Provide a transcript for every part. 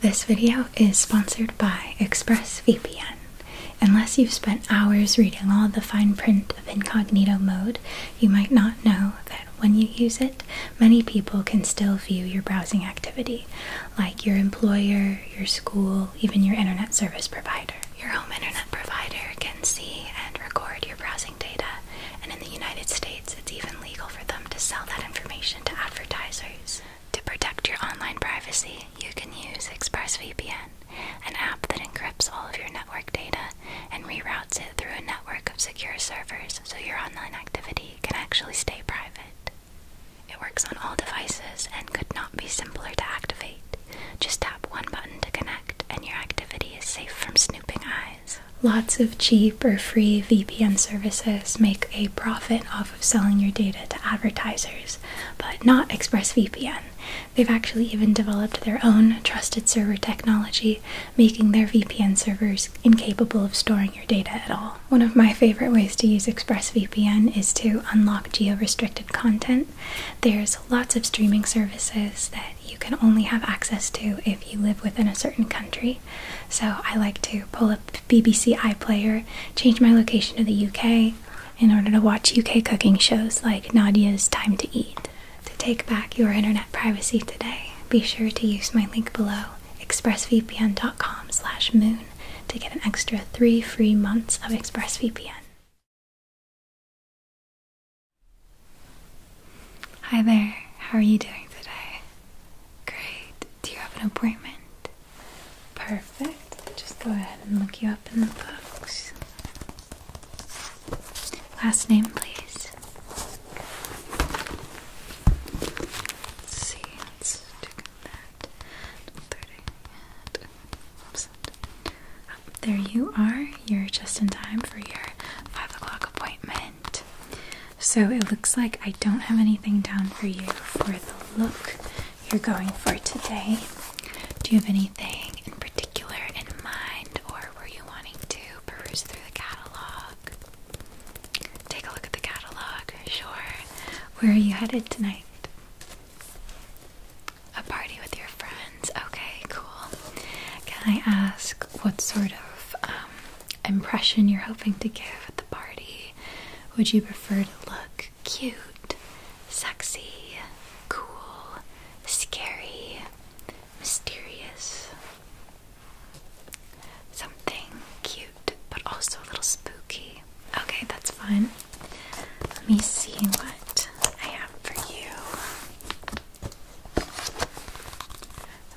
This video is sponsored by ExpressVPN. Unless you've spent hours reading all the fine print of incognito mode, you might not know that when you use it, many people can still view your browsing activity, like your employer, your school, even your internet service provider. Your home internet provider can see and record your browsing data, and in the United States, it's even legal for them to sell that information to advertisers. To protect your online privacy, you can use ExpressVPN, an app that encrypts all of your network data and reroutes it through a network of secure servers so your online activity can actually stay private. It works on all devices and could not be simpler to activate. Just tap one button to connect, and your activity is safe from snooping eyes. Lots of cheap or free VPN services make a profit off of selling your data to advertisers, but not ExpressVPN. They've actually even developed their own trusted server technology, making their VPN servers incapable of storing your data at all. One of my favorite ways to use ExpressVPN is to unlock geo restricted content. There's lots of streaming services that you can only have access to if you live within a certain country. So I like to pull up BBC iPlayer, change my location to the UK in order to watch UK cooking shows like Nadia's Time to Eat. To take back your internet privacy today, be sure to use my link below, expressvpn.com slash moon, to get an extra three free months of ExpressVPN. Hi there, how are you doing today? Great. Do you have an appointment? Perfect. just go ahead and look you up in the books. Last name, please. see. Let's check that. There you are. You're just in time for your 5 o'clock appointment. So it looks like I don't have anything down for you for the look you're going for today. Do you have anything in particular in mind, or were you wanting to peruse through the catalog? Take a look at the catalog, sure. Where are you headed tonight? A party with your friends. Okay, cool. Can I ask what sort of um, impression you're hoping to give at the party. Would you prefer to look cute, sexy, cool, scary, mysterious? Something cute but also a little spooky. Okay, that's fine. Let me see what I have for you.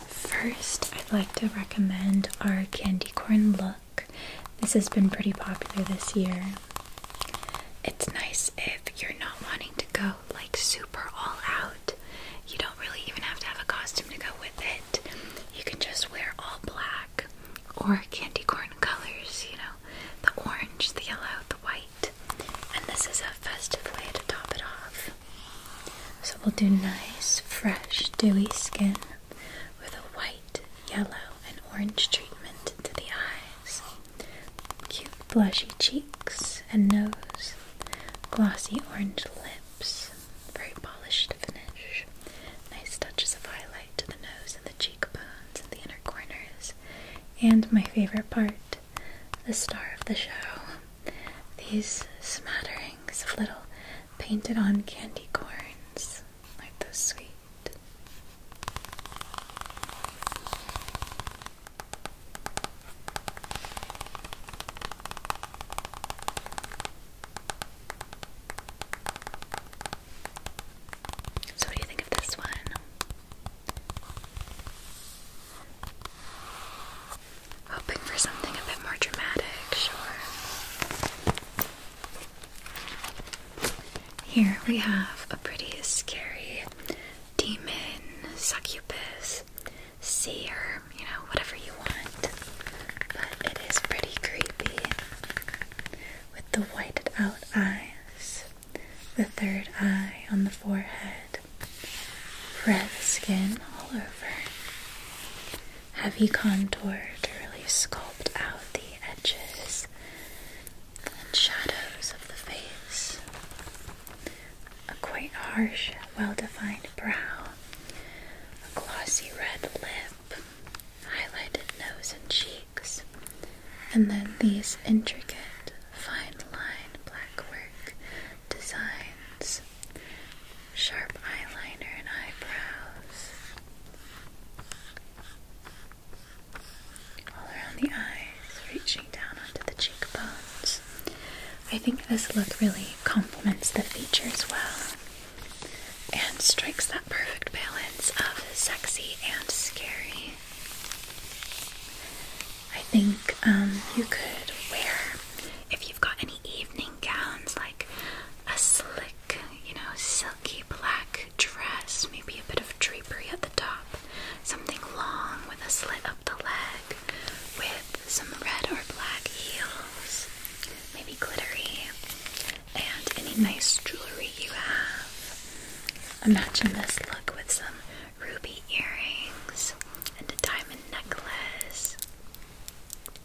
First, I'd like to recommend our candy corn loaf. This has been pretty popular this year. It's nice if you're not wanting to go like super all out. You don't really even have to have a costume to go with it. You can just wear all black or candy corn colors, you know, the orange, the yellow, the white. And this is a festive way to top it off. So we'll do nice, fresh, dewy skin with a white, yellow, and orange treatment to the eyes, cute blushy cheeks and nose, glossy orange lips, very polished finish, nice touches of highlight to the nose and the cheekbones and the inner corners, and my favorite part, the star of the show. These smatterings of little painted on candy corns, like those sweet. So, what do you think of this one? Hoping for something a bit more dramatic, sure. Here we have a pretty scary demon, succubus, seer, you know, whatever you want. But it is pretty creepy with the whited out eyes, the third eye on the forehead, red skin all over heavy contour to really sculpt out the edges and shadows of the face. A quite harsh, well defined brow, a glossy red lip, highlighted nose and cheeks, and then these intricate, fine line black work designs sharp eyeliner and eyebrows. All around the eyes, reaching down onto the cheekbones. I think this look really complements the features well and strikes that perfect balance of sexy and scary. I think um, you could wear, if you've got any evening gowns like a slick, you know, silky black dress, maybe a bit of drapery at the top, something long with a slit up the leg, with some red or black heels, maybe glittery, and any nice jewelry you have. Imagine this look with some ruby earrings and a diamond necklace.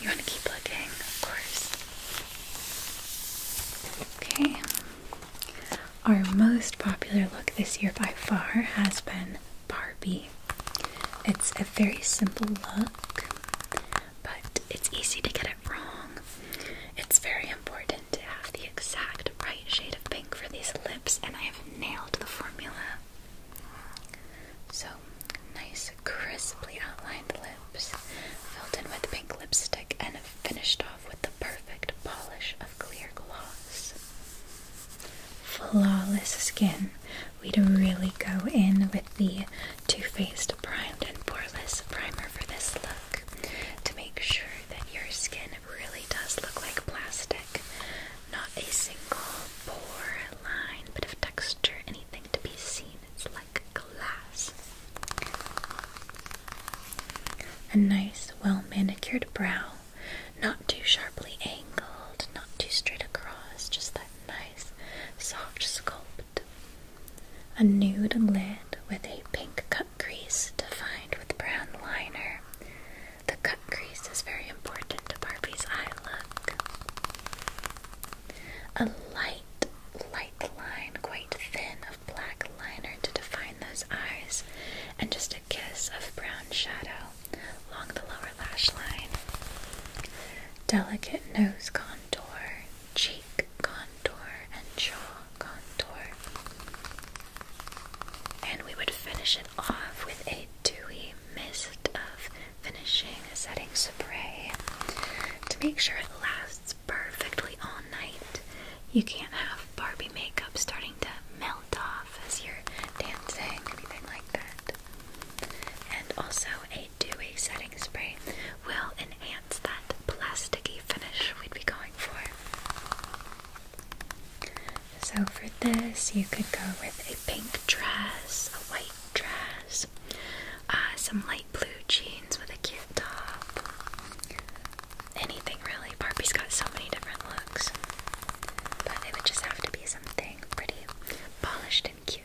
You want to keep looking, of course. Okay. Our most popular look this year by far has been Barbie. It's a very simple look, but it's easy to get it wrong. It's very important happened to have the exact right shade of pink for these lips, and I have nailed the formula. So, nice, crisply outlined lips, filled in with pink lipstick, and finished off with the perfect polish of clear gloss. Flawless skin. We'd really go in with the Too Faced Primed and Poreless Primer for this look to make sure that your skin really does look like plastic. Not a single pore, line, bit of texture, anything to be seen. It's like glass. A nice, well manicured brow, not too sharply angled, not too straight across, just that nice, soft sculpt. A nude lid with a pink cut crease defined with brown liner. The cut crease is very important to Barbie's eye look. A light, light line, quite thin, of black liner to define those eyes, and just a kiss of brown shadow along the lower lash line. Delicate nose contour, cheek contour, and jaw contour. And we would finish it off with a dewy mist of finishing setting spray to make sure it lasts perfectly all night. You can't have Barbie makeup starting to melt off as you're dancing, anything like that. And also, a dewy setting spray will enhance that plasticky finish we'd be going for. So for this, you could go with a pink dress, a white dress, uh, some light blue jeans with a cute top. Anything really. Barbie's got so many different looks. But they would just have to be something pretty polished and cute.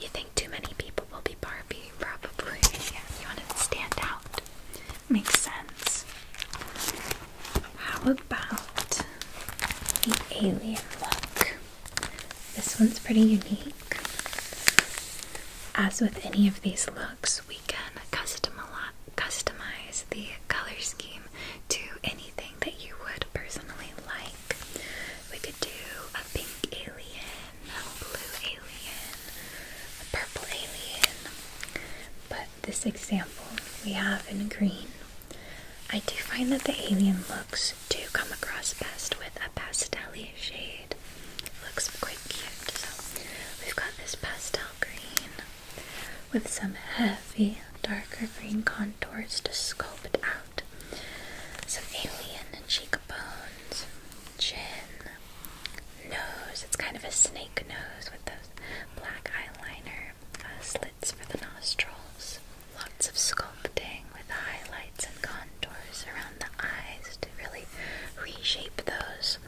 You think too many people will be Barbie? Probably. Yeah, you want to stand out. Makes sense. How about the alien look? This one's pretty unique. As with any of these looks, we we can customize the color scheme to anything that you would personally like. We could do a pink alien, a blue alien, a purple alien, but this example we have in green. I do find that the alien looks do come across best with a pastelly shade. looks quite cute. So we've got this pastel green with some heavy darker green contours to sculpt it out. Some alien cheekbones, chin, nose. It's kind of a snake nose with those black eyeliner uh, slits for the nostrils. Lots of sculpting with highlights and contours around the eyes to really reshape those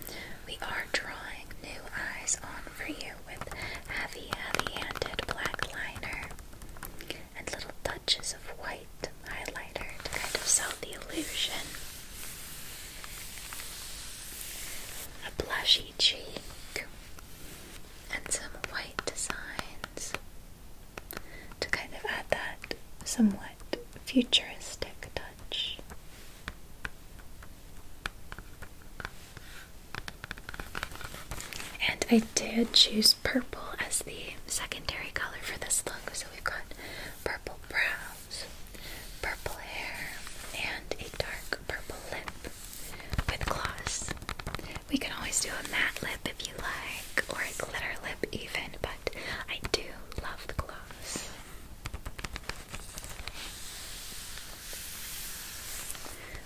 we are drawing new eyes on for you with heavy, heavy-handed black liner and little touches of white highlighter to kind of sell the illusion. A blushy cheek and some white designs to kind of add that somewhat futuristic touch. And I did choose purple as the secondary color for this look. So we've got purple brows, purple hair, and a dark purple lip with gloss. We can always do a matte lip if you like, or a glitter lip even, but I do love the gloss.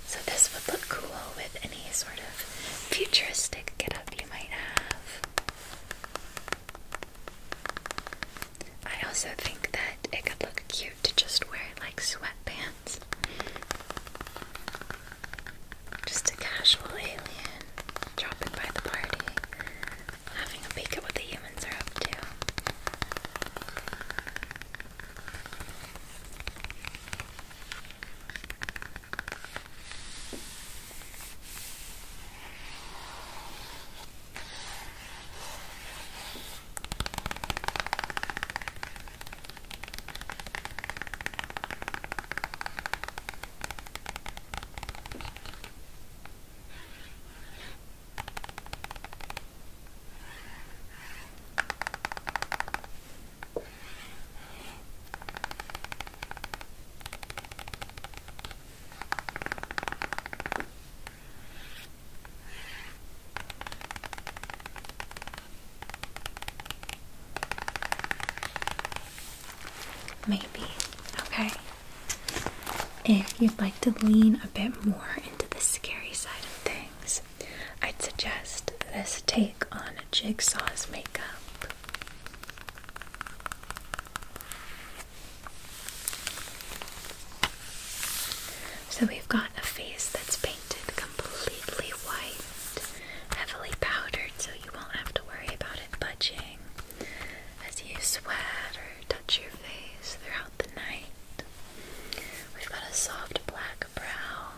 So this would look cool with any sort of futuristic getup you might have. I also think that it could look cute to just wear like sweatpants. Just a casual alien dropping by the party having a peek at what the humans are up to. Maybe. Okay. If you'd like to lean a bit more into the scary side of things, I'd suggest this take on Jigsaw's makeup. So we've got a face that's painted completely white, heavily powdered, so you won't have to worry about it budging as you sweat or touch your face throughout throughout the night. We've got a soft black brow,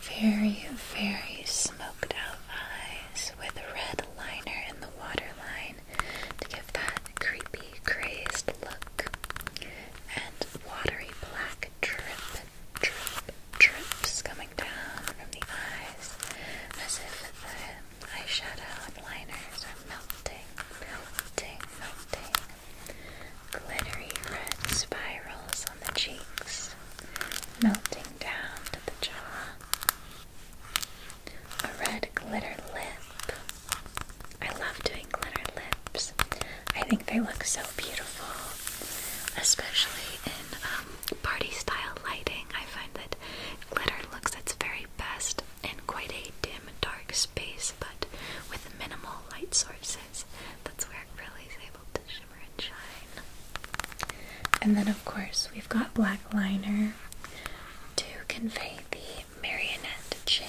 very, very smoked out eyes with red liner in the waterline to give that creepy, crazed look, and watery black drip, drip, drips coming down from the eyes as if the eyeshadow and liners are melting, melting, melting. Glittery red spirals on the cheeks, melting down to the jaw. A red glitter lip. I love doing glitter lips. I think they look so beautiful, especially in um, party style lighting. I find that glitter looks its very best in quite a dim, dark space, but with minimal light sources. That's where it really is able to shimmer and shine. And then, of course, we've got black liner to convey the marionette chin.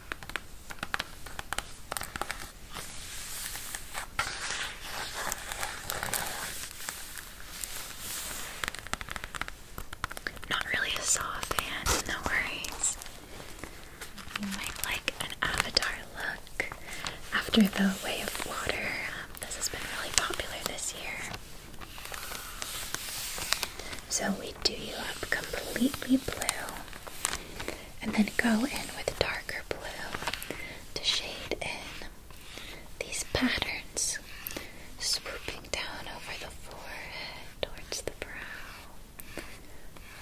Not really a Saw fan, no worries. You might like an Avatar look after the Way of Water. Um, this has been really popular this year. So we do you up completely blue and then go in with darker blue to shade in these patterns swooping down over the forehead towards the brow,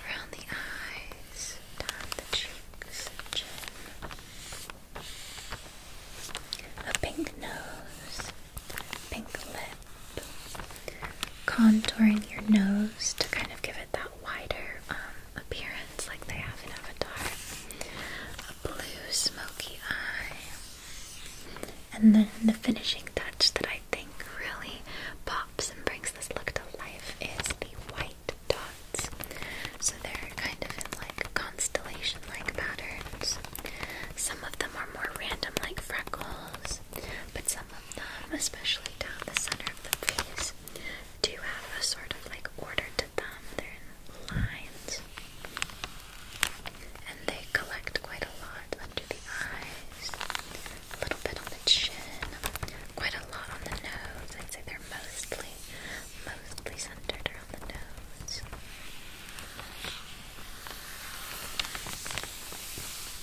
around the eyes, down the cheeks, and chin, a pink nose, pink lip contouring your nose to kind of give it that wider um, appearance like they have in Avatar. A blue smoky eye. And then the finishing touch that I think really pops and brings this look to life is the white dots. So they're kind of in like constellation like patterns. Some of them are more random, like freckles, but some especially down the center of the face, do have a sort of like order to them. They're in lines. And they collect quite a lot under the eyes, a little bit on the chin, quite a lot on the nose. I'd say they're mostly, mostly centered around the nose.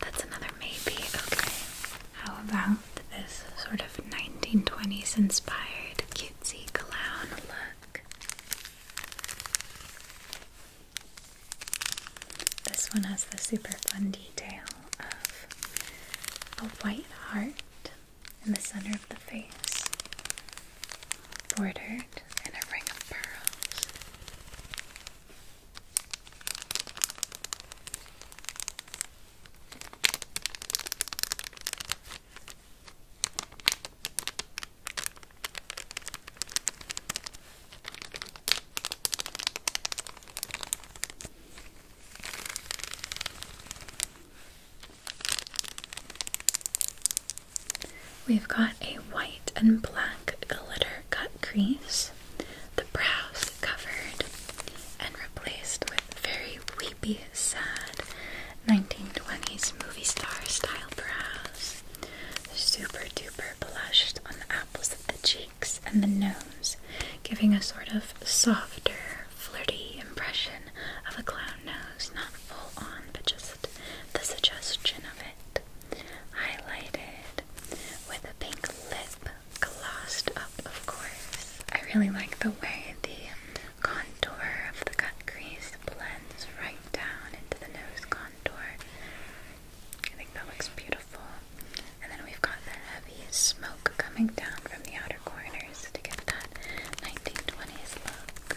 That's another maybe. Okay. How about this sort of 1920s inspired cutesy clown look? This one has the super fun detail of a white heart in the center of the face, bordered in a ring of pearls. We've got a white and black glitter cut crease the brows covered and replaced with very weepy, sad 1920s movie star style brows. Super duper blushed on the apples of the cheeks and the nose, giving a sort of softer, flirty impression of a clown nose, not full on, but just the suggestion of it. Highlighted with a pink lip glossed up, of course. I really like the way the contour of the cut crease blends right down into the nose contour. I think that looks beautiful. And then we've got the heavy smoke coming down from the outer corners to get that 1920s look.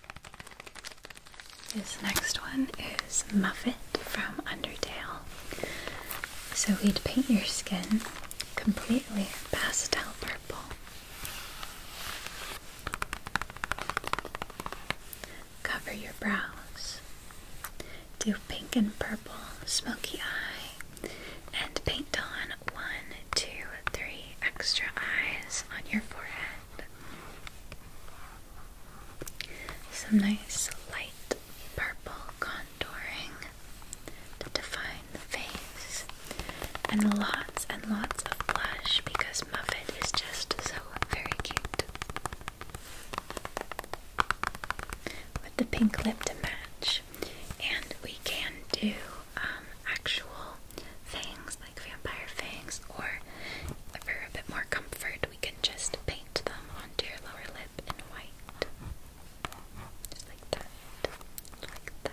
This next one is Muffet from Undertale. So we'd paint your skin completely pastel purple. Cover your brows. Do pink and purple smoky eye. And paint on one, two, three extra eyes on your forehead. Some nice light purple contouring to define the face, and lots and lots of blush because Muffet is just so very cute. With the pink lip to match, and we can do um, actual fangs, like vampire fangs, or for a bit more comfort, we can just paint them onto your lower lip in white. Just like that. Like that.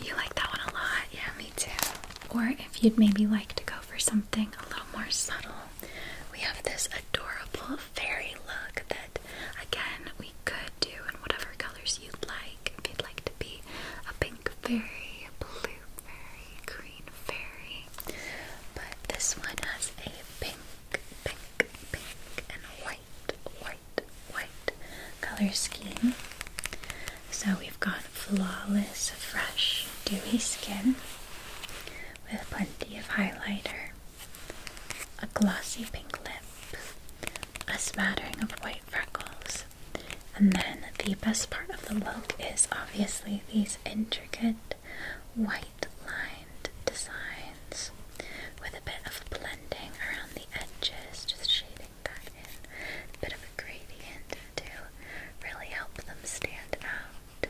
You like that one a lot, yeah, me too. Or if you'd maybe like to go for something a little more subtle, we have this adorable fairy look that, again, we could do in whatever colors you'd like. If you'd like to be a pink blue fairy, green fairy. But this one has a pink, pink, pink, and white, white, white color scheme. So we've got flawless, fresh, dewy skin with plenty of highlighter, a glossy pink lip, a smattering of white freckles, and then the best part of the look is obviously these intricate white lined designs with a bit of blending around the edges, just shading that in. A bit of a gradient to really help them stand out.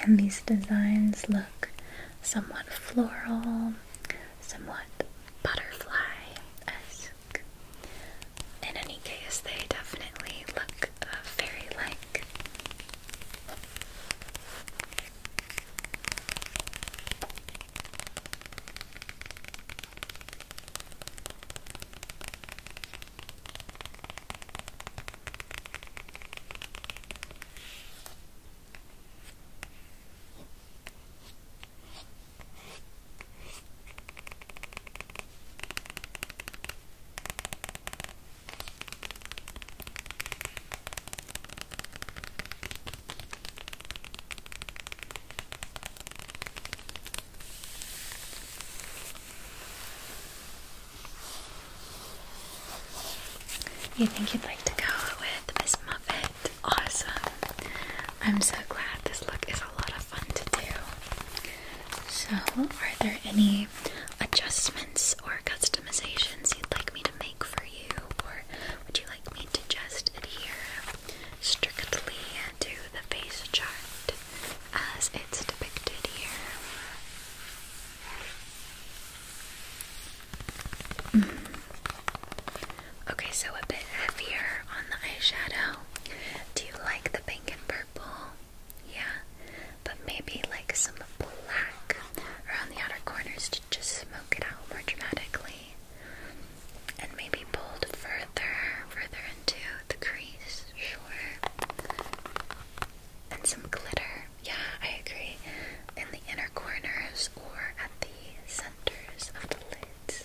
And these designs look somewhat floral, somewhat butterfly esque in any case, they definitely look fairy uh, like. You think you'd like to go with Miss Muffet? Awesome. I'm so glad this look is a lot of fun to do. So, are there any adjustments or customizations you'd like me to make for you, or would you like me to just adhere strictly to the face chart as it's depicted here? Mm-hmm. Okay, so a bit heavier on the eyeshadow. Do you like the pink and purple? yeah, but maybe like some black around the outer corners to just smoke it out more dramatically, and maybe bold further, further into the crease, sure, and some glitter. Yeah, I agree. In the inner corners or at the centers of the lids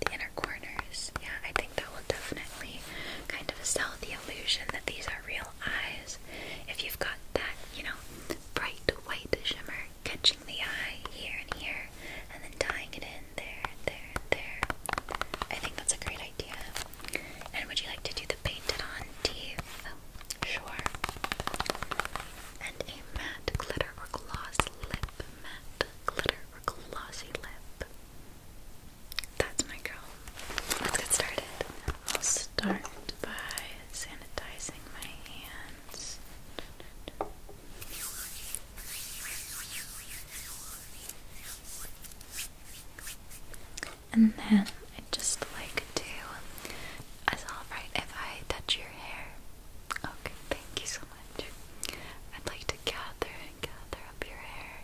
the inner corners. Yeah, I think that will definitely kind of sell the illusion that these are real eyes. If you've got that, you know, bright white shimmer catching the eye here and here, and then tying it in there, there, there. I think that's a great idea. And would you like to do the painted on teeth? Oh, sure. And a matte glitter or gloss lip. Matte glitter or glossy lip. That's my girl. Let's get started. I'll start by sanitizing my hands. And then I just like to. It's alright if I touch your hair. Okay, thank you so much. I'd like to gather and gather up your hair,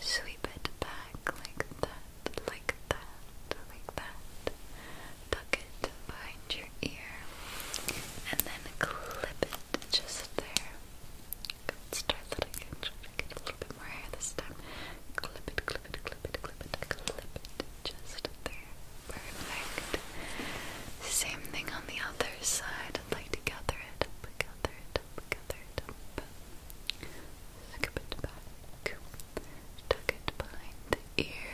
sweep it back like that, like that, like that. Tuck it behind your ear, and then clip it just there. Let's try that again. Try to get a little bit more hair this time. Clip it, clip it, clip it, clip it, clip it just there. Perfect. Same thing on the other side. I'd like to gather it up, gather it dump, gather, it back. Tuck it behind the ear.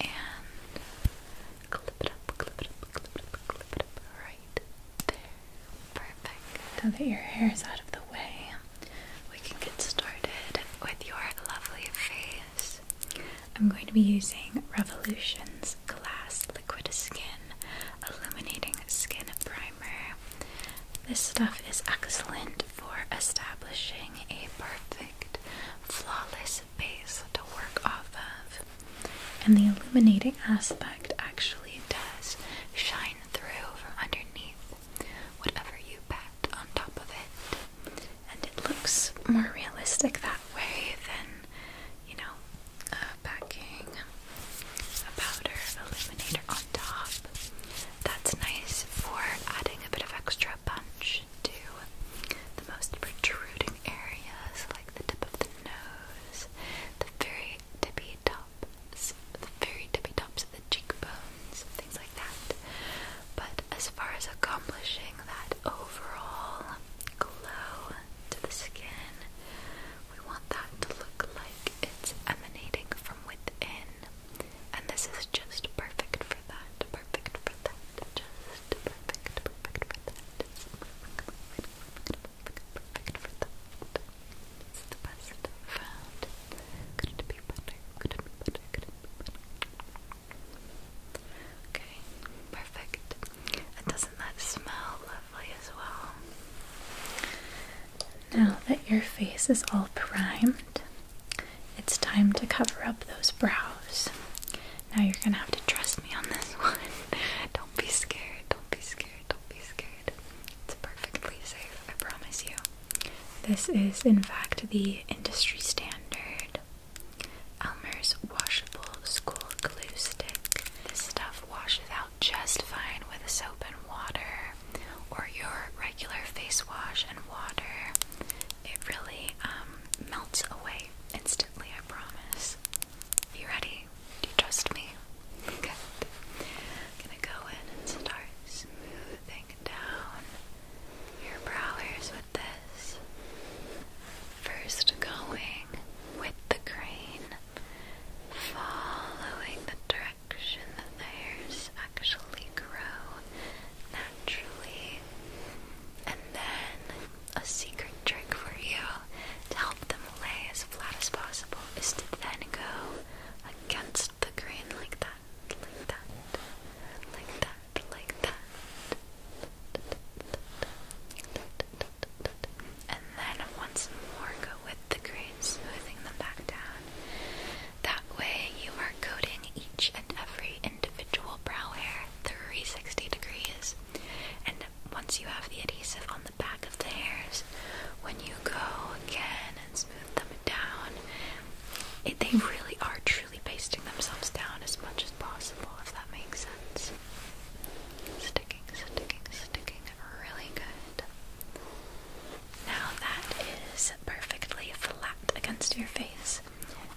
And clip it up, clip it up, clip it up, clip it up. Right there. Perfect. Now that your hair is out of the way, we can get started with your lovely face. I'm going to be using Revolutions Glass Liquid Skin Illuminating Skin Primer. This stuff is excellent for establishing a perfect, flawless base to work off of. And the illuminating aspect actually does shine through from underneath whatever you pat on top of it. And it looks more realistic that way than, you know, uh, packing, a powder illuminator on top. That's nice for adding a bit of extra punch to the most protruding areas, like the tip of the nose, the very tippy tops, the very tippy tops of the cheekbones, things like that. But as far as accomplishing that overall glow, to the skin. We want that to look like it's emanating from within. And this is just perfect for that. Perfect for that. Just perfect, perfect for that. It's the best I've found. Could it be better? Could it be better? Could it be better? Okay, perfect. And doesn't that smell lovely as well? Now that your face is all primed, it's time to cover up those brows. Now you're gonna have to trust me on this one. don't be scared, don't be scared, don't be scared. It's perfectly safe, I promise you. This is, in fact, the industry standard. Elmer's washable school glue stick. This stuff washes out just fine with soap and water or your regular face wash and water. It really um, melts away instantly, I promise. You ready? Do you trust me? Good. gonna go in and start smoothing down your brows with this. First going with the grain, following the direction that the hairs actually grow naturally. And then a secret trick for you to help them lay as flat as possible is to then go against the grain like that, like that, like that, like that and then once more go with the grain, smoothing them back down. That way, you are coating each and every individual brow hair 360 degrees. And once you have the adhesive on the back of the hairs, when you go again and smooth them down, they really are truly pasting themselves down as much as possible, if that makes sense. Stick sticking, sticking, sticking really good. Now that is perfectly flat against your face,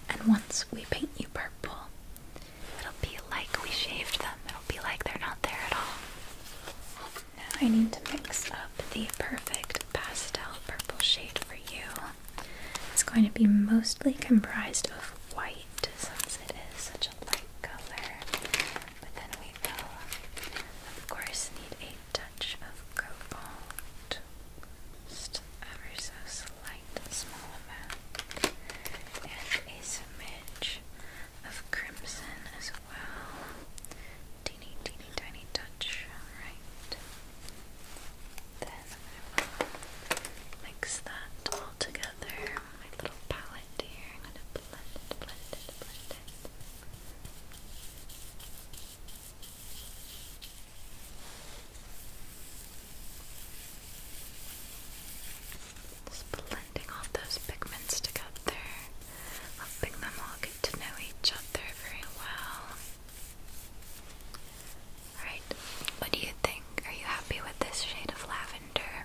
and once we paint you purple, it'll be like we shaved them, it'll be like they're not there at all. I need to mix up the perfect pastel purple shade for you. It's going to be mostly comprised of white white since it is such a light color. But then we will, of course, need a touch of cobalt. Just ever so slight, small amount. And a smidge of crimson as well. Teeny, teeny, tiny touch. Alright. Then mix that all together my little palette here. I'm gonna blend it, blend it, blend it. Just blending all those pigments together, helping them all get to know each other very well. Alright, what do you think? Are you happy with this shade of lavender?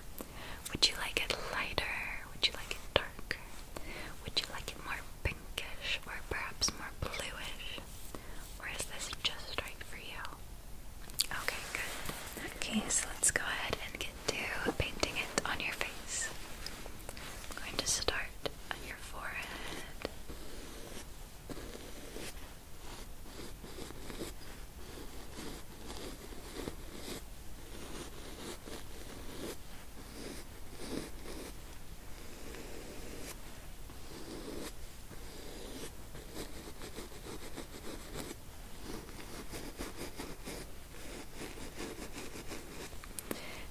Would you like it lighter? Would you like it darker? Would you like it more pinkish or perhaps more bluish? Or is this just right for you? Okay, good. Okay, so let's go ahead and get to painting it on your face. I'm going to start on your forehead.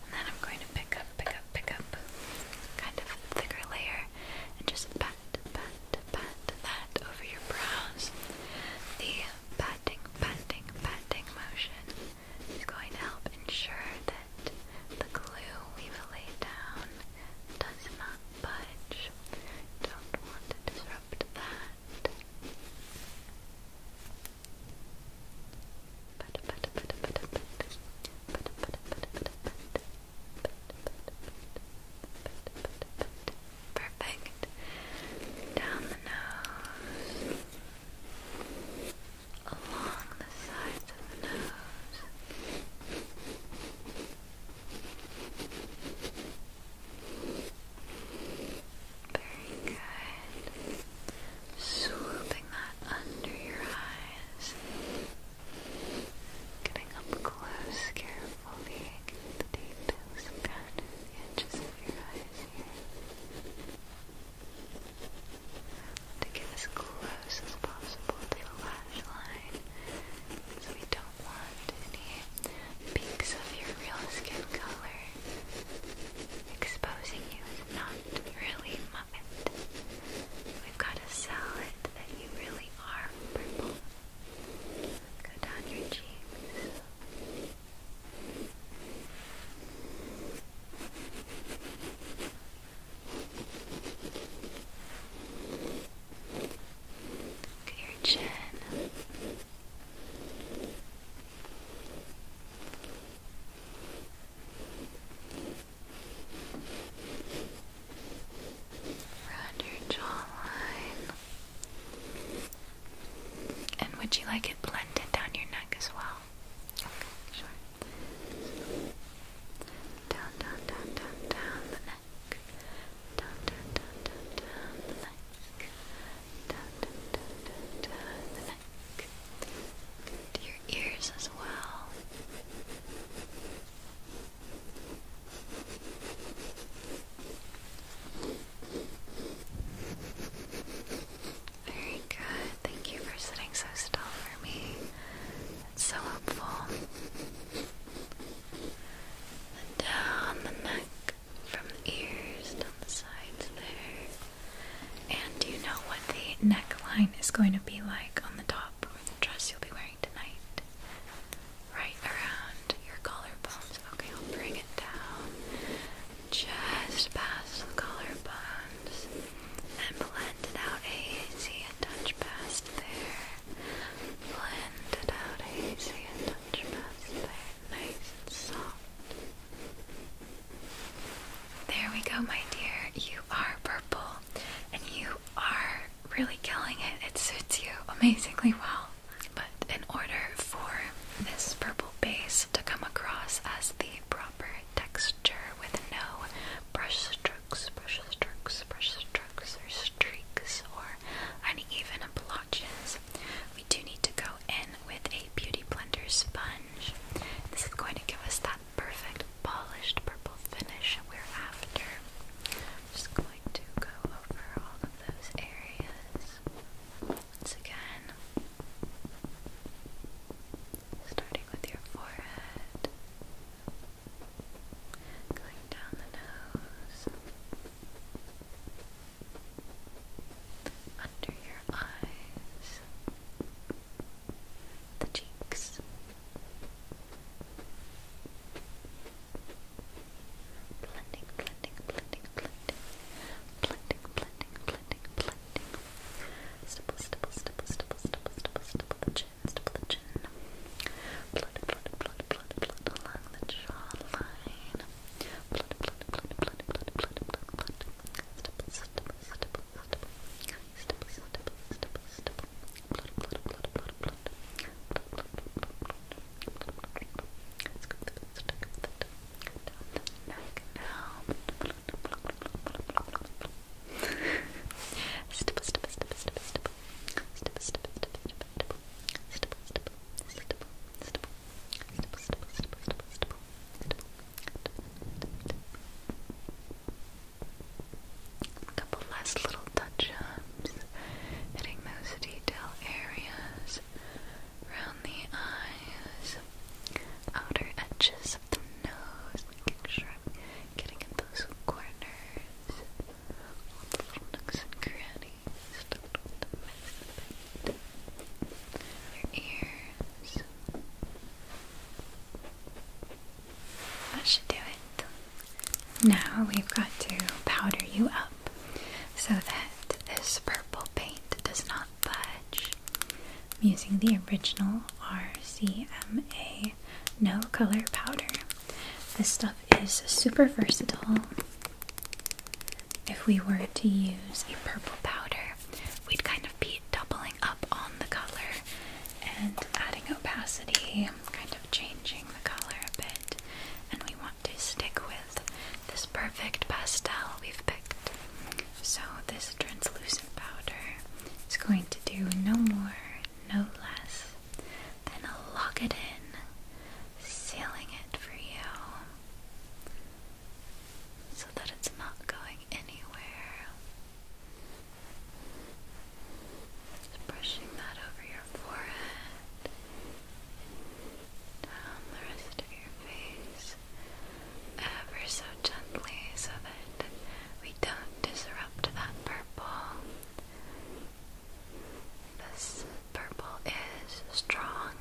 And then I'm going to pick up, pick up, pick up kind of thicker layer and just pat, pat, to pat over your brows. The patting, patting, patting motion is going to help ensure that the glue we've laid down does not budge. Don't want to disrupt that. Perfect. Down the nose, along the sides of the nose. Very good. Swooping that under your eyes. Getting up close, carefully to get as close as possible to the lash line so we don't want any peaks of your real skin color exposing you is not really Muppet. We've got to sell it that you really are purple Go down your cheeks. Look at your chin. Around your jawline. And would you like it blended down your neck as well? Okay, sure. Down, down, down, down, down the neck. Down, down, down, down, the neck. Down, down, down, down, the neck. your ears as well. Very good. Thank you for sitting so still for me. It's so hopeful. And down the neck, from the ears, down the sides there. And do you know what the neckline is going to be like on the top or the dress you'll be wearing right around your collarbones. Okay, I'll bring it down just past the collarbones and blend it out easy and touch past there. Blend it out easy and touch past there. Nice and soft. There we go, my dear. You are purple and you are really killing it. It suits you amazingly well. But in order for this purple base to come across as the proper texture with no brush strokes, brush or streaks, or uneven blotches, we do need to go in with a Beauty Blender sponge. This is going to give us that perfect polished purple finish we're after. Just going going to go over all of those areas once again. Starting with your forehead, going down the nose, under your eyes, the cheeks, blending, blending, blending, blending, blending, blending, blending, blending. Stipple, stipple, stipple, stipple, stipple, stipple, stipple the chin, stipple the chin. Blood, blood, blood, blood, blood along the jawline. Blood, blood, blood, blood, blood, blood, blood, blood. Stipple, stipple, stipple, stipple, stipple, stipple, stipple, stipple. Blood, blood, blood, blood, blood. Let's go through the stick of the down the neck now. Stipple, stipple, stipple, stipple, stipple. Stipple, stipple, stipple, stipple, stipple. Stipple, stipple, stipple, stipple, stipple, stipple, stipple, stipple. Couple last little touches. Uh, hitting those detail areas around the eyes, outer edges of the nose, making sure I'm getting in those corners, all the little nooks and crannies, don't want to miss your ears. That should do it. Now we've got to powder you up so that this purple paint does not budge. I'm using the original RCMA No Color Powder. This stuff is super versatile. If we were to use a purple powder, we'd kind of be doubling up on the color and adding opacity, kind of changing the color a bit. And we to stick with this perfect pastel we've picked. So, this translucent powder is going to do no more, no less than lock it in, sealing it for you so that it's not going anywhere. brushing that over your forehead down um, the rest of your face ever so gently so that we don't disrupt that purple. This purple is strong.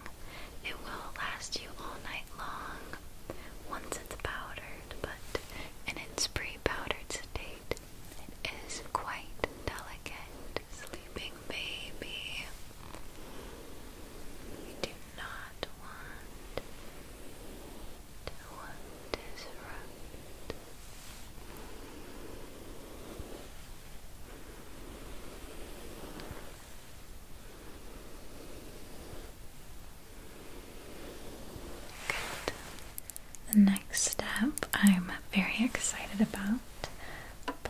It will last you all night long once it's powdered, but in its pre powdered state, it is quite delicate sleeping baby. We do not want to disrupt. Good. The next step I'm very excited about.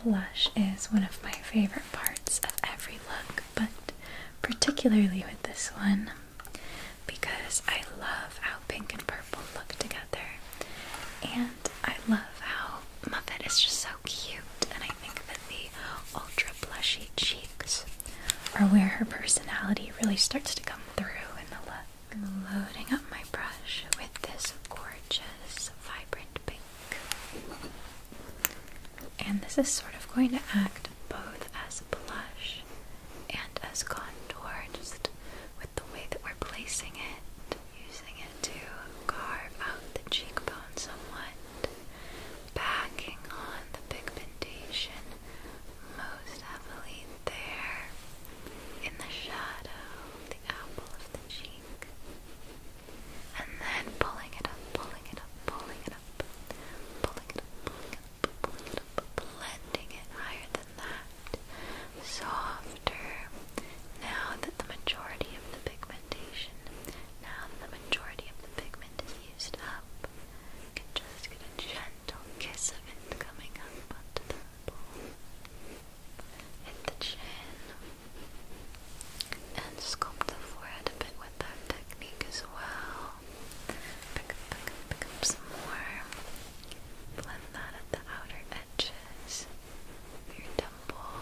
Blush is one of my favorite parts of every look, but particularly with this one because I love how pink and purple look together. And I love how Muppet is just so cute, and I think that the ultra blushy cheeks are where her personality really starts to come through in the look. I'm loading up my brush with this gorgeous vibrant pink. And this is sort of going to act both as blush and as contour, just with the way that we're placing it, using it to carve out the cheekbone somewhat, backing on the pigmentation most heavily there in the shadow, the apple of the cheek. And then pulling it up, pulling it up, pulling it up, pulling it up, pulling it up, blending it higher than that. Softer. Now that the majority of the pigmentation, now that the majority of the pigment is used up, you can just get a gentle kiss of it coming up onto the bowl in the chin and sculpt the forehead a bit with that technique as well. Pick up, pick up, pick up some more. Blend that at the outer edges your temple.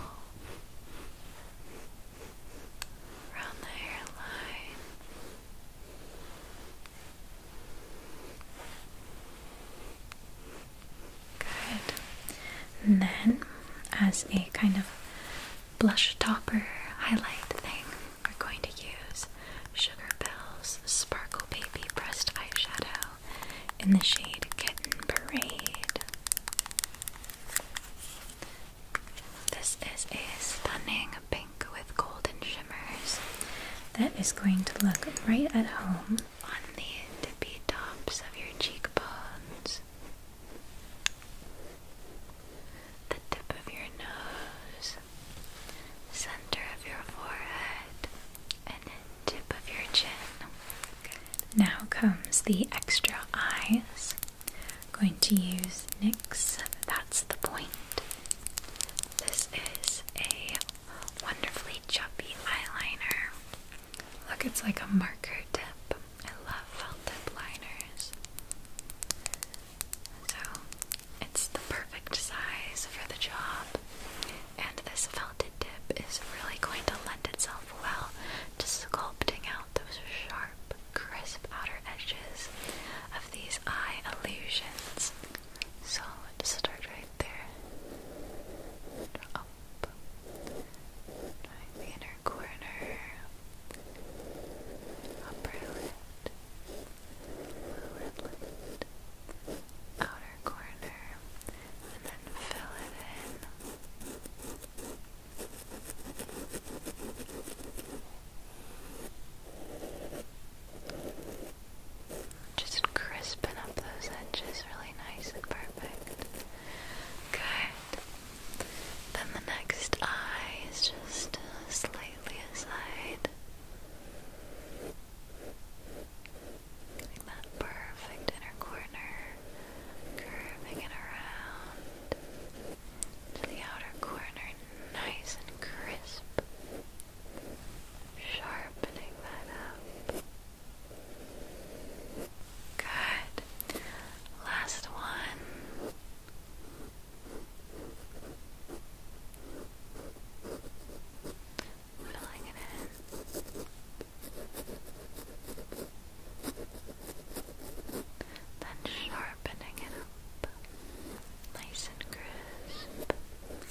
Around the hairline. Good. And then, as a kind of blush topper highlight thing, we're going to use Sugar Bells Sparkle Baby Pressed Eyeshadow in the shade Kitten Parade. This is a stunning pink with golden shimmers that is going to look right at home on the tippy tops of your cheekbones, the tip of your nose, center of your forehead, and the tip of your chin. Now comes the extra eyes. going to use NYX, that's the point. This is a wonderfully chubby eyeliner. Look, it's like a marker tip. I love felted liners. So, it's the perfect size for the job. And this felted tip is really going to lend itself well to sculpting out those sharp, crisp outer edges of these eye illusions. So let's start right there. inner corner. Upper lid. Lower lid. Outer corner. And then fill it in. Just crisping up those edges really nice and perfect. Good. Then the next eye is just slightly aside. Getting that perfect inner corner, curving it around to the outer corner, nice and crisp. Sharpening that up. Good. Last one. Filling it in. Then sharpening it up. Nice and crisp.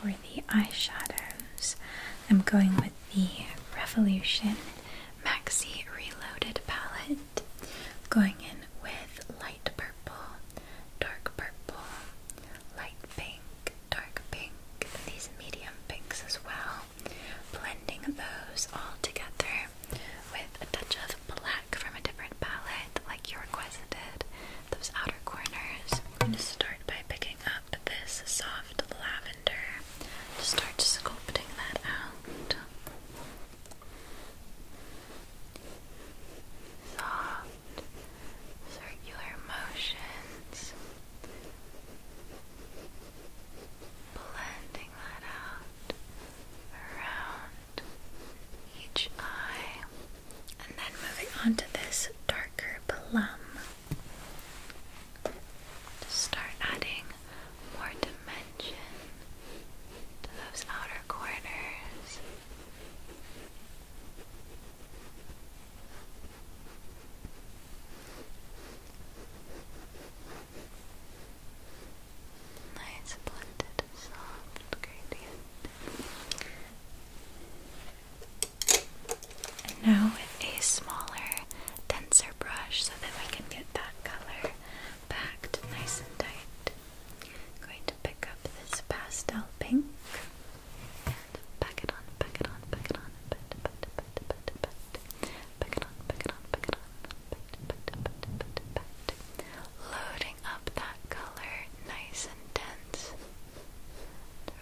for the eyeshadows, I'm going with the Revolution Maxi Reloaded palette. Going in with light purple, dark purple, light pink, dark pink, these medium pinks as well. Blending those all together with a touch of black from a different palette, like you requested, those outer corners. We're going to start by picking up this soft lavender to start sculpting that out. Soft, circular motions. Blending that out around each eye. And then moving on to this darker plum. To start adding more dimension to those outer corners nice blended soft gradient. And now with a smaller, denser brush so that we can get that color packed nice and tight. going to pick up this pastel pink and pack it on, pack it on, pack it on, pat, pat, pat, pat, pat, pat. Pack it on, pack it on, pack it on. Loading up that color nice and dense.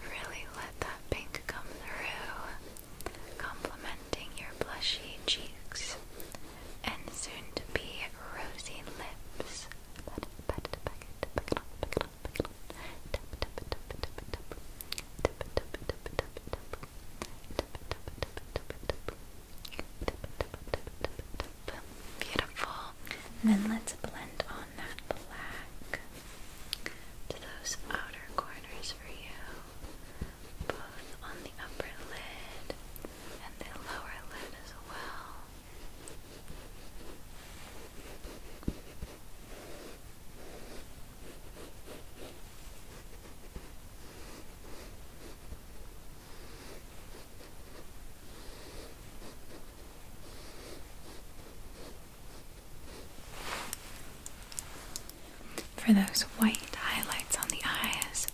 Really let that pink come through, complementing your blushy cheeks and soon to be rosy lips. Beautiful. then let's blend on that black to those outer corners for you, both on the upper lid and the lower lid as well. For those white highlights on the eyes,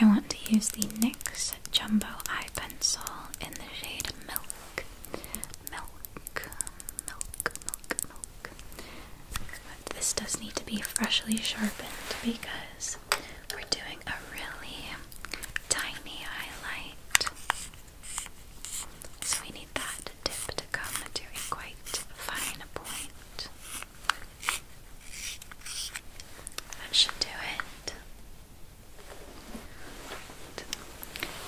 I want to use the NYX Jumbo Eye Pencil in the shade Milk. Milk, milk, milk, milk. this does need to be freshly sharpened because we're doing a really tiny highlight. So we need that tip to come to a quite fine point. That should do it.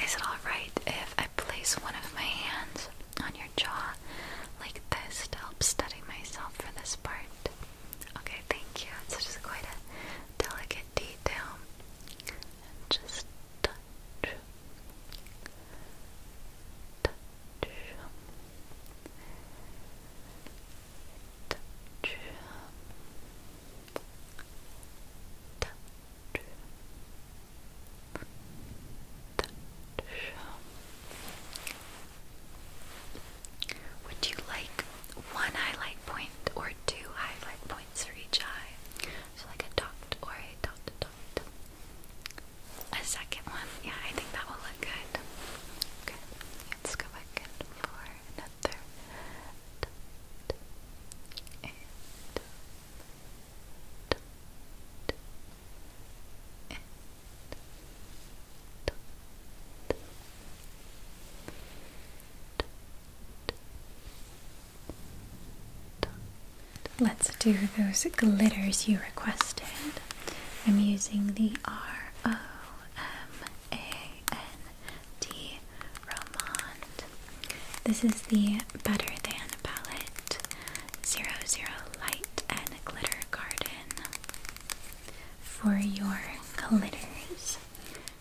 Is it alright if I place one of my hands on your jaw like this to help steady myself for this part? Okay, thank you. It's just quite a delicate detail. And just touch. Touch. Touch. Touch. Touch. Would you like one highlight point or two highlight points for each eye? So like a dot or a dot dot. A second one. Yeah, I think that will look good. Okay, let's go back in for another dot and dot and Let's do those glitters you requested. I'm using the R O M A N D Romand. This is the Better Than palette, Zero Zero Light and Glitter Garden for your glitters,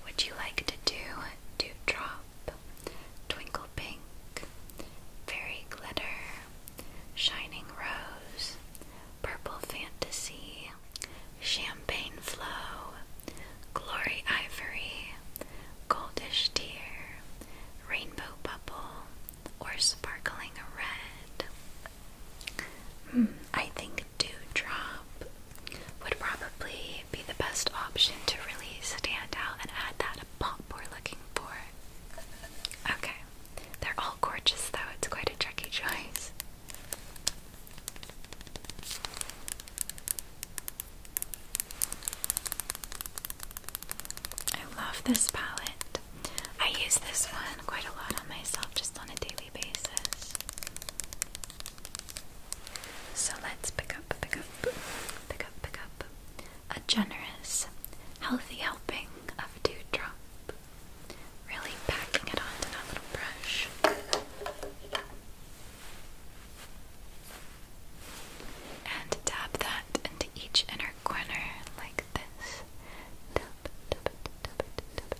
would you like to do Dewdrop, Twinkle Pink, Fairy Glitter, Shining Rose, Purple Fantasy, Champagne Flow, Glory Ivory, Goldish Tear, Rainbow Bubble, or Sparkling Red? I think Dewdrop would probably be the best option to really stand out and add that pop we're looking for. Okay, they're all gorgeous though, it's quite a tricky choice. I love this palette. I use this one quite a lot on myself just on a daily basis. So let's pick up, pick up, pick up, pick up a generous, healthy helping of dewdrop. Really packing it onto that little brush. And tap that into each inner corner like this. Tap, tap it, tap it, tap it.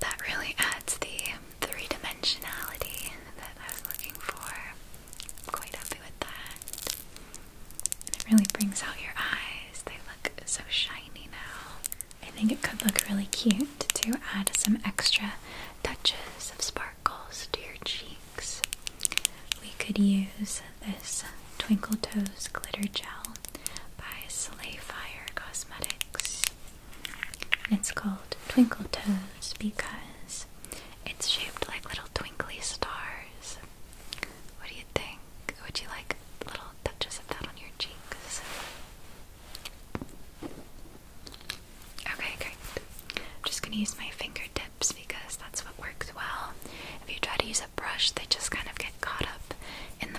That really adds the three dimensionality that I was looking for. I'm quite happy with that. And it really brings out your eyes, they look so shiny now. I think it could look really cute to add some extra touches of sparkles to your cheeks. We could use this Twinkle Toes Glitter Gel by Slay Cosmetics it's called Twinkle Toes because it's shaped like little twinkly stars. What do you think? Would you like little touches of that on your cheeks? Okay, great. I'm just gonna use my fingertips because that's what works well. If you try to use a brush, they just kind of get caught up in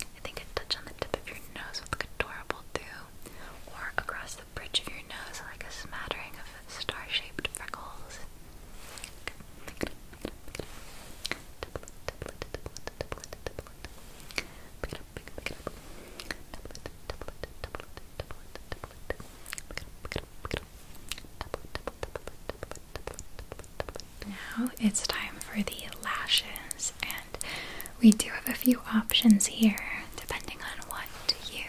I think a touch on the tip of your nose would look adorable too, or across the bridge of your nose like a smattering of star-shaped freckles. Now it's time for the lashes, and we do have a few options here depending on what you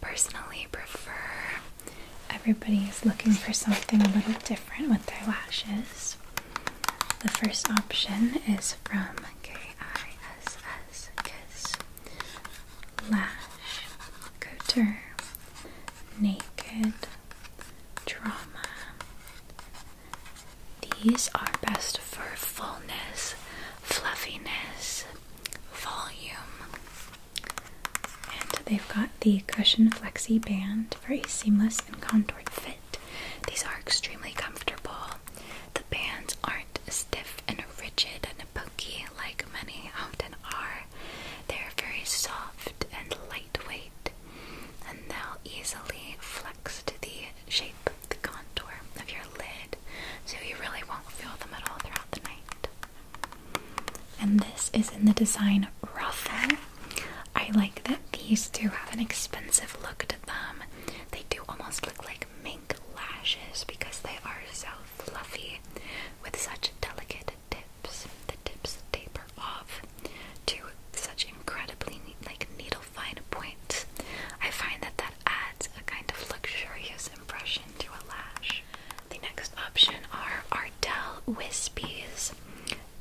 personally prefer. Everybody is looking for something a little different with their lashes. The first option is from K I S S Kiss Lash Couture Naked these are best for fullness, fluffiness, volume. And they've got the cushion flexi band for a seamless and contoured fit. These are extremely comfortable. The bands aren't stiff and rigid and pokey like many often are. They're very soft and lightweight, and they'll easily flex to the shape, the contour of your lid, so you really won't feel them at all throughout the night. And this is in the design Ruffle. I like that these do have an expensive look to them. They do almost look like mink lashes because they are so fluffy with such delicate tips tips. The tips taper off to such incredibly like needle fine points. I find that that adds a kind of luxurious impression to a lash. The next option are Ardell Wispies.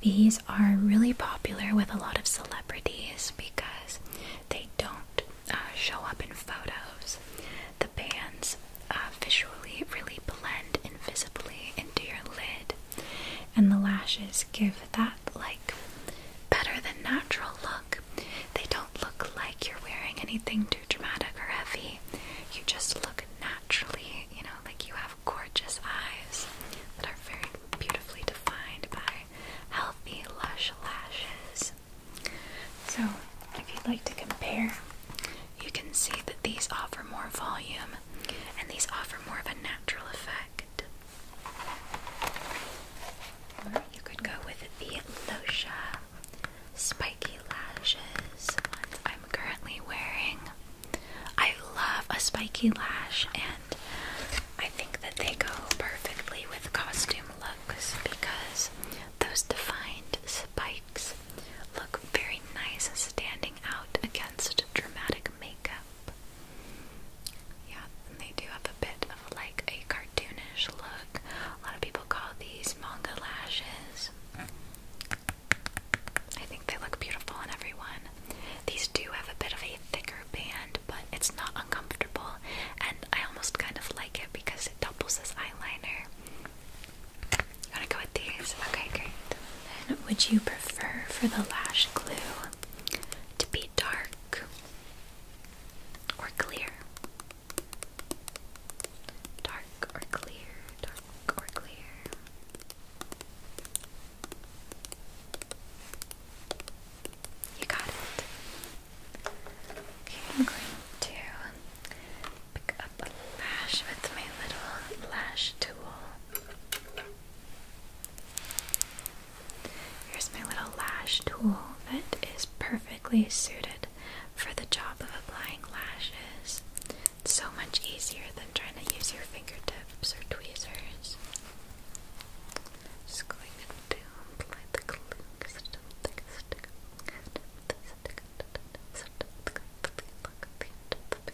These are really popular with a lot of celebrities because they don't uh, show up in photos. The bands uh, visually really blend invisibly into your lid, and the lashes give that like better than natural look. They don't look like you're wearing anything too dramatic or heavy. You just look naturally, you know, like you have gorgeous eyes that are very beautifully defined by healthy, lush lashes. So, if you'd like to compare, you can see that these offer more volume and these offer more of a natural effect. you could go with the Losha Spiky Lashes I'm currently wearing. I love a spiky lash, and I think that they go perfectly with costume looks because those defined spikes look very nice standing out against dramatic makeup. Yeah, they do have a bit of like a cartoonish look. A lot of people call these manga lashes. I think they look beautiful on everyone. These do have a bit of a thicker band, but it's not uncomfortable, and I almost kind of like it because it doubles as eyeliner. You wanna go with these? Okay, great. Then would you prefer for the lash glue to be dark or clear? Dark or clear, dark or clear. You got it. Okay, I'm going to pick up lash with my little lash tool. Here's my little lash tool that is perfectly suited for the job of applying lashes. It's so much easier than trying to use your fingertips or tweezers. Just going to apply the glue.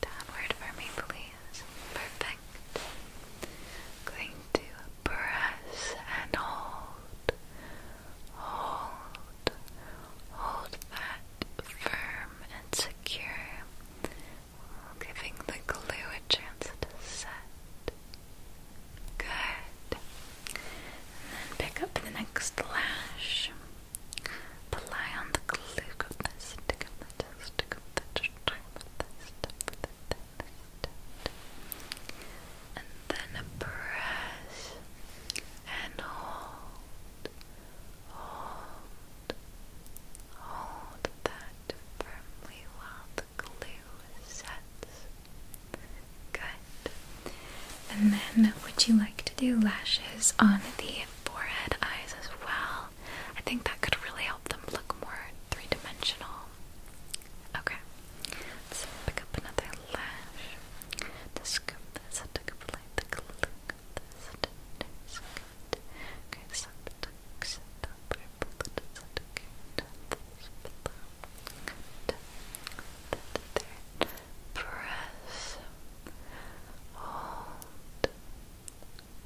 downward for me, please. Perfect. Going to press and hold, hold, hold that firm and secure, giving the glue a chance to set. Good. then pick up the next lash. The lion, the glue of the stick of the stick of the time of the stuff and then press and hold, hold, hold that firmly while the glue sets. Good. And then, would you like to do lashes on the forehead eyes as well. I think that could really help them look more three dimensional. Okay, let's pick up another lash. scoop this,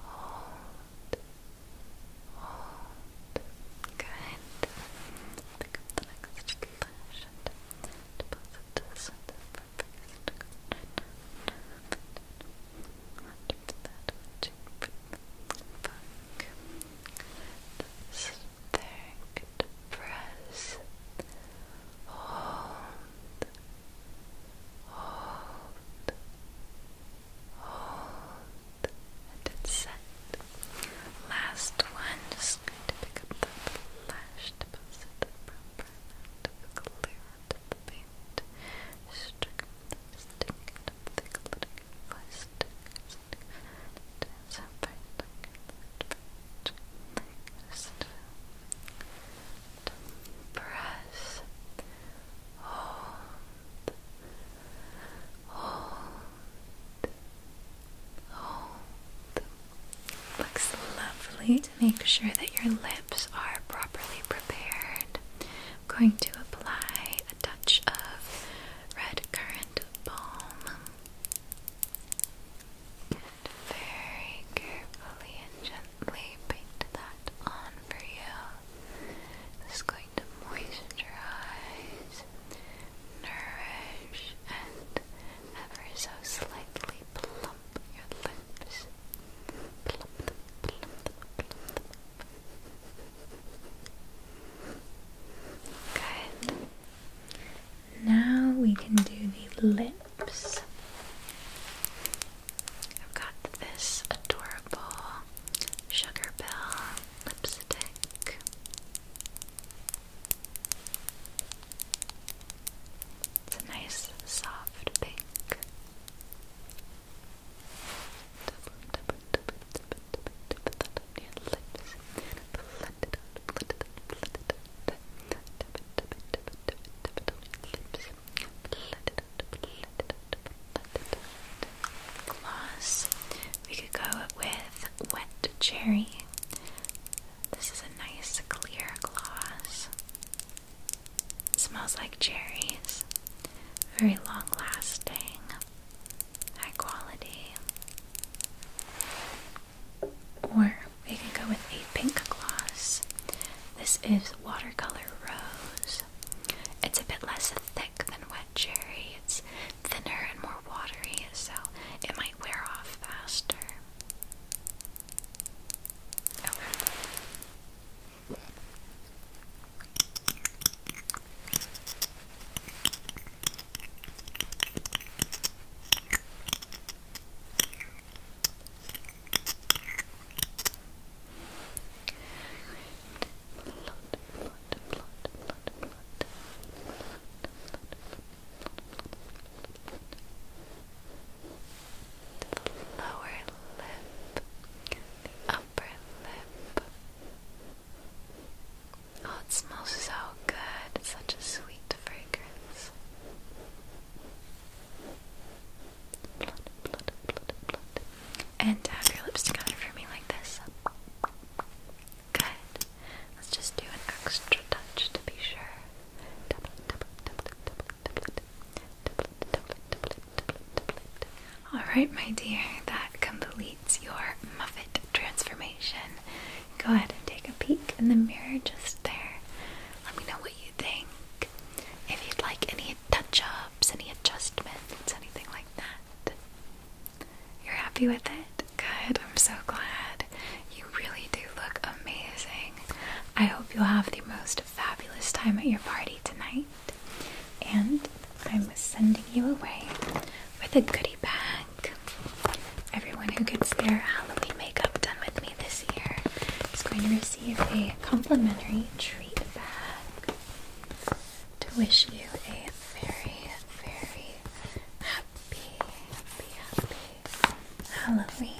hold, hold. Good. Pick the next lash and deposit this into the perfect that, check back. press. Hold, hold, hold, and it's set. Last one, just to pick up the flash to pass it from burnout to the clear to the paint. Stick the stick to the glitter flash stick, stick, dance and fight like a little bit. Just press, hold, hold, hold. Looks lovely. To make sure that your lips are properly prepared, I'm going to apply a touch of red currant balm very carefully and gently paint that on for you. This is going to moisten nourish, and ever so slightly plump your lips. Plump them, plump plump Good. Now we can do the lips cups. I've got this adorable Sugar Bell lipstick. It's a nice soft pink. Lips. Gloss. We could go with Wet Cherry. This is a nice clear gloss. smells like cherries. Very long lasting. High quality. Or we can go with a pink gloss. This is Watercolor Rose. It's a bit less thick than Wet Cherry. It's thinner and more watery, so it might wear off faster. The lower lip, the upper lip. Oh, it smells so good. It's such a sweet fragrance. And have uh, your lips together for me like this. Good. Let's just do an extra touch to be sure. Alright, my dear, that completes your Muffet transformation. Go ahead and take a peek in the mirror just there. Let me know what you think, if you'd like any touch ups, any adjustments, anything like that. You're happy with it? Good, I'm so glad. You really do look amazing. I hope you'll have the most fabulous time at your party tonight. And I'm sending you away with a goodie bag. Everyone who gets their Halloween makeup done with me this year is going to receive receive a complimentary treat bag to wish you a very, very happy, happy, happy Halloween.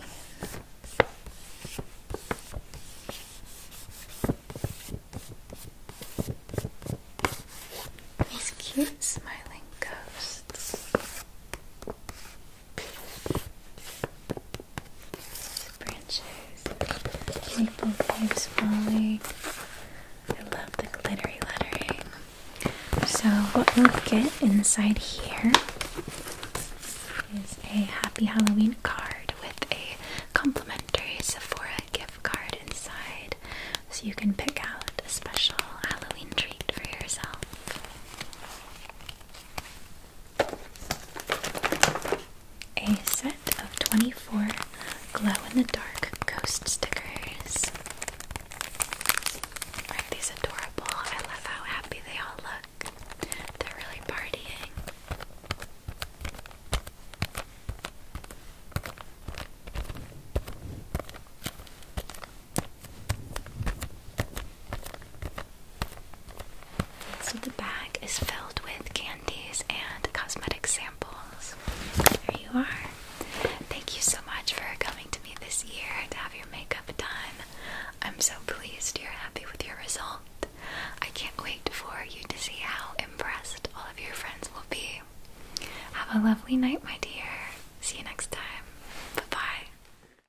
These cute smiling ghosts branches, maple leaf falling. I love the glittery lettering. So what we'll get inside here is a Happy Halloween card with a complimentary Sephora gift card inside. So you can pick out a special Halloween treat for yourself a set of 24 glow-in-the-dark ghost stickers. Aren't these adorable? I love how happy they all look. They're really partying. So the bag is filled with candies and cosmetic samples. There you are. Thank you so much for coming to me this year to have your makeup done. I'm so pleased you're happy with your result. I can't wait for you to see how impressed all of your friends will be. Have a lovely night, my dear. See you next time. Bye bye.